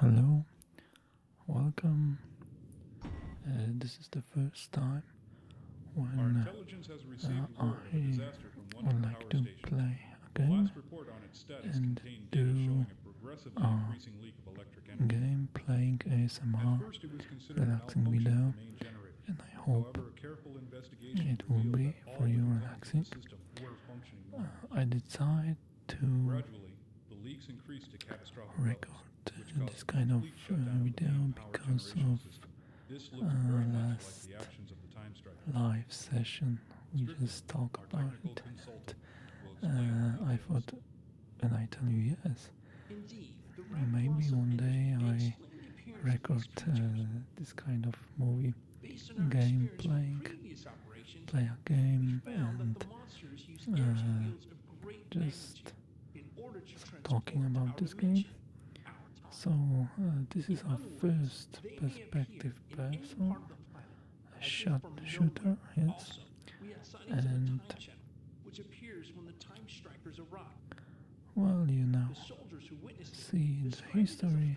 Hello, welcome. Uh, this is the first time when uh, uh, I would like to station. play game and do a game playing ASMR relaxing video and I hope it will be for you relaxing. I decide to record this kind of video uh, because of uh, last live session we just talk about it. Uh, I thought, and I tell you yes, maybe one day I record this kind of movie game, playing, play a game, and uh, just talking about this game. So uh, this is our first perspective person a shot shooter, yes. And well, you know, scenes, history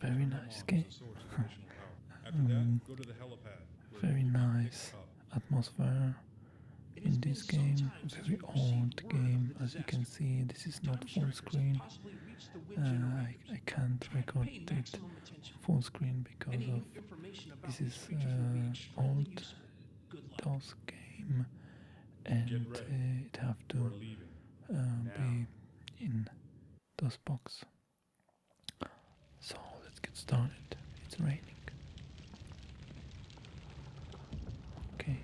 Very nice game. Mm-hmm. very nice atmosphere in this game. Very old game, as you can see. This is not full screen. Uh, I, I can't record it full screen because of this is uh, old DOS game, and uh, it have to be in those box. So let's get started. It's raining. Okay,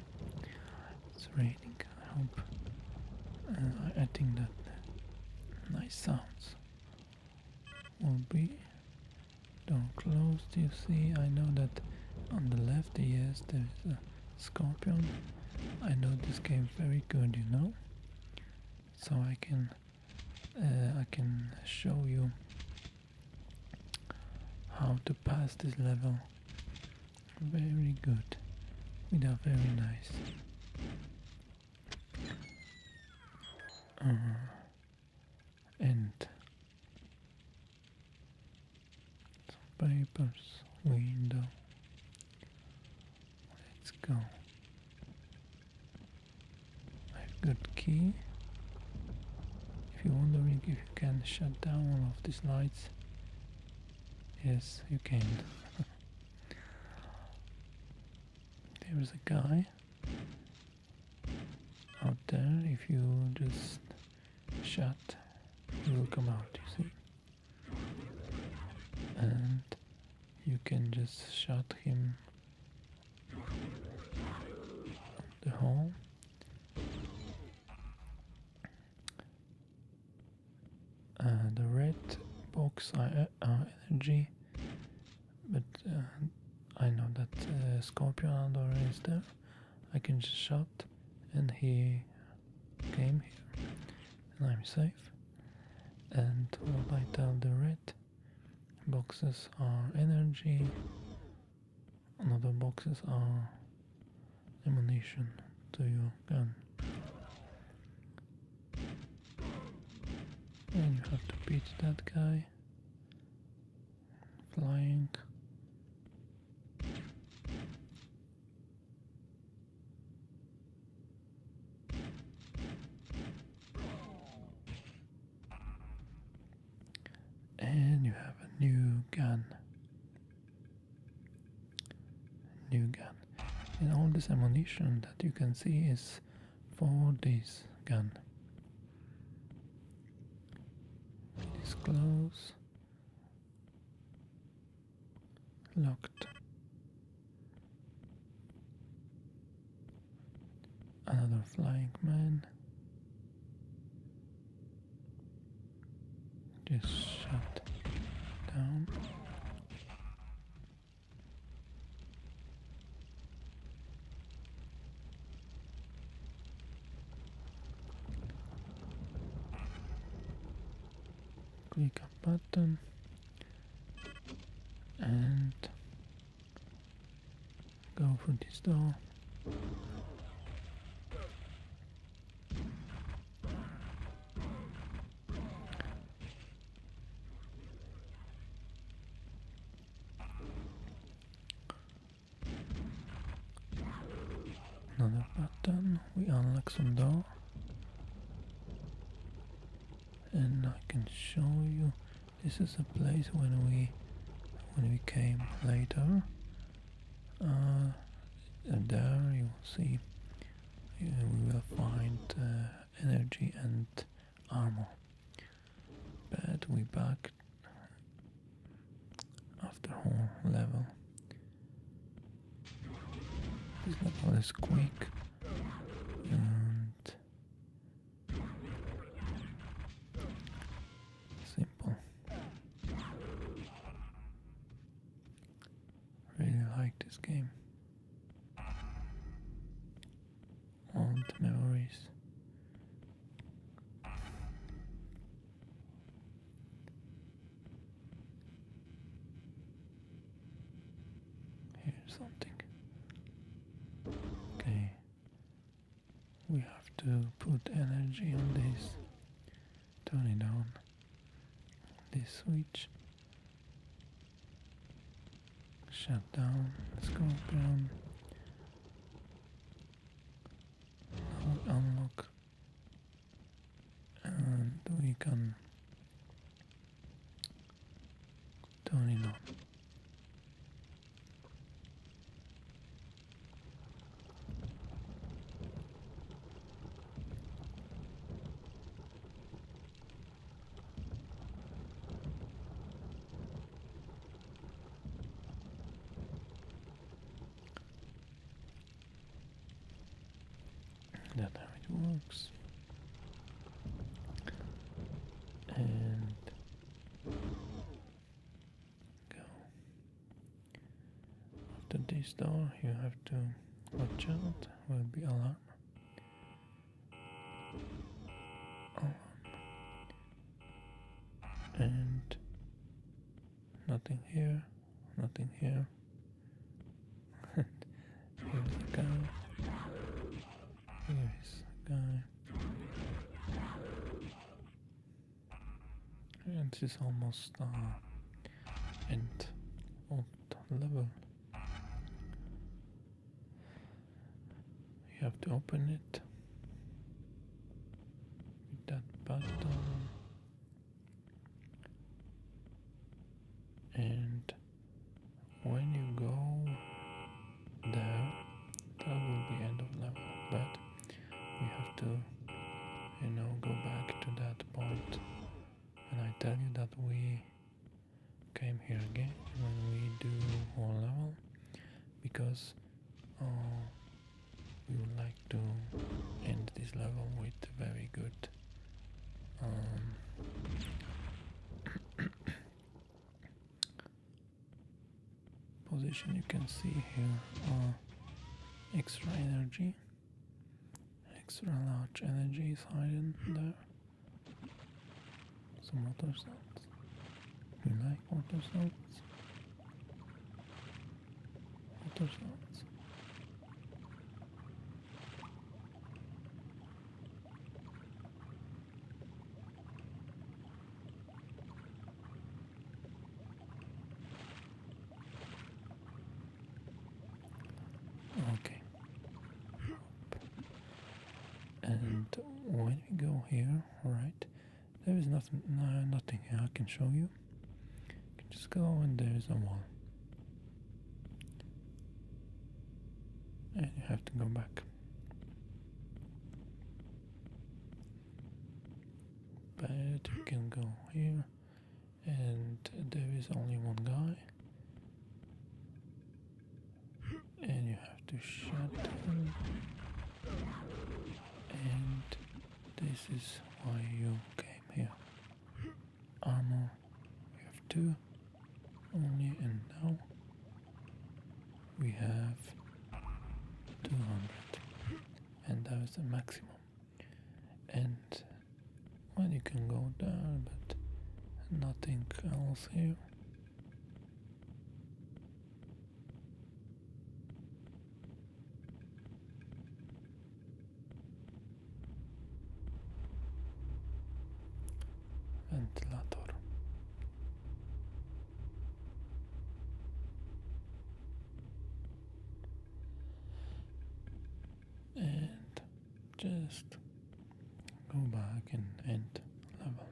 it's raining. I hope. I think that nice sounds will be. Don't close. Do you see? I know that on the left, yes, there is a Scorpion. I know this game very good, you know. So I can uh, I can show you how to pass this level. Very good. We are very nice. Uh-huh. and some papers, window. Let's go. I've got key. If you're if you can shut down all of these lights, yes, you can. there is a guy out there. If you just shut, he will come out. You see and you can just shot him the hole uh, the red box are, are energy but uh, I know that uh, Scorpion Andor is there I can just shot and he game here. And I'm safe. And what I tell the red boxes are energy, another boxes are ammunition to your gun. And you have to beat that guy. Flying. And you have a new gun. New gun. And all this ammunition that you can see is for this gun. This close locked. Another flying man. Just shut down click a button and go through this door Another button. We unlock some door. And I can show you this is a place when we when we came later. Uh, there you will see we will find uh, energy and armor. But we back after whole level. It's not always quick and simple. Really like this game. Old memories. Here's something. Okay. We have to put energy on this. Turn it on. This switch. Shut down. let unlock and we can turn it on. That's how it works. And go. After this door, you have to watch out. Will be alarm. Alarm. And nothing here, nothing here. Here's the guy. Here's the guy. And this is almost uh, end of the level. You have to open it. That button. And when you go there, that will be end of level. But we have to, you know, go back to that point. And I tell you that we came here again when we do one level because uh, we would like to end this level with very good um, position you can see here uh, extra energy extra large energy is hiding there some other sounds we like quarter shots. Quarter shots. Okay. And when we go here, right? There is nothing, no, nothing here I can show you. You can just go and there is a wall. And you have to go back. But you can go here and there is only one guy. And you have to shut them and this is why you came here. Armor, we have two only and now we have 200 and that was the maximum and well you can go down but nothing else here wentylator and just go back and end level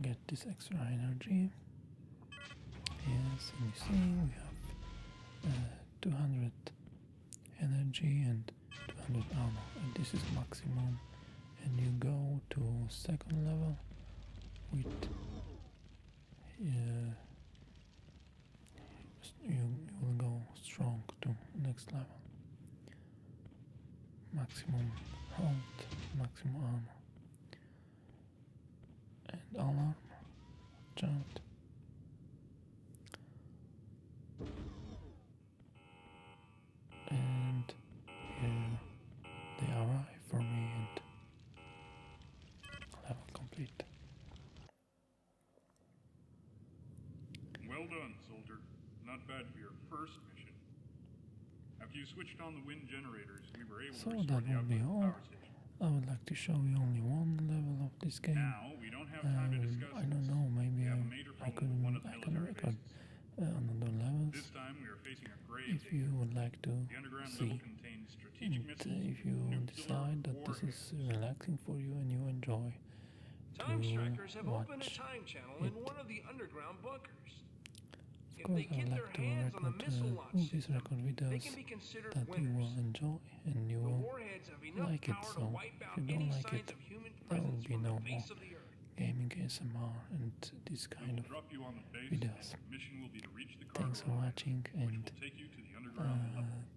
Get this extra energy. Yes, and you see we have uh, 200 energy and 200 armor. And this is maximum. And you go to second level with uh, you will go strong to next level. Maximum health, maximum armor. And alarm, watch And here they arrive for me and level complete. Well done, soldier. Not bad for your first mission. After you switched on the wind generators, so that will be all. I would like to show you only one level of this game. Now, we don't have time to um, discuss I don't know, maybe I, I can record uh, another levels. This time we are facing a grave if you would like to see. if you decide that this is relaxing for you and you enjoy Time strikers have opened a time channel in one of the underground bunkers. Of if course, they get I would like to recommend uh, these record videos that winners. you will enjoy and you will like it. So if you don't like it, there will be no more gaming ASMR and this kind of videos. Thanks for watching and uh,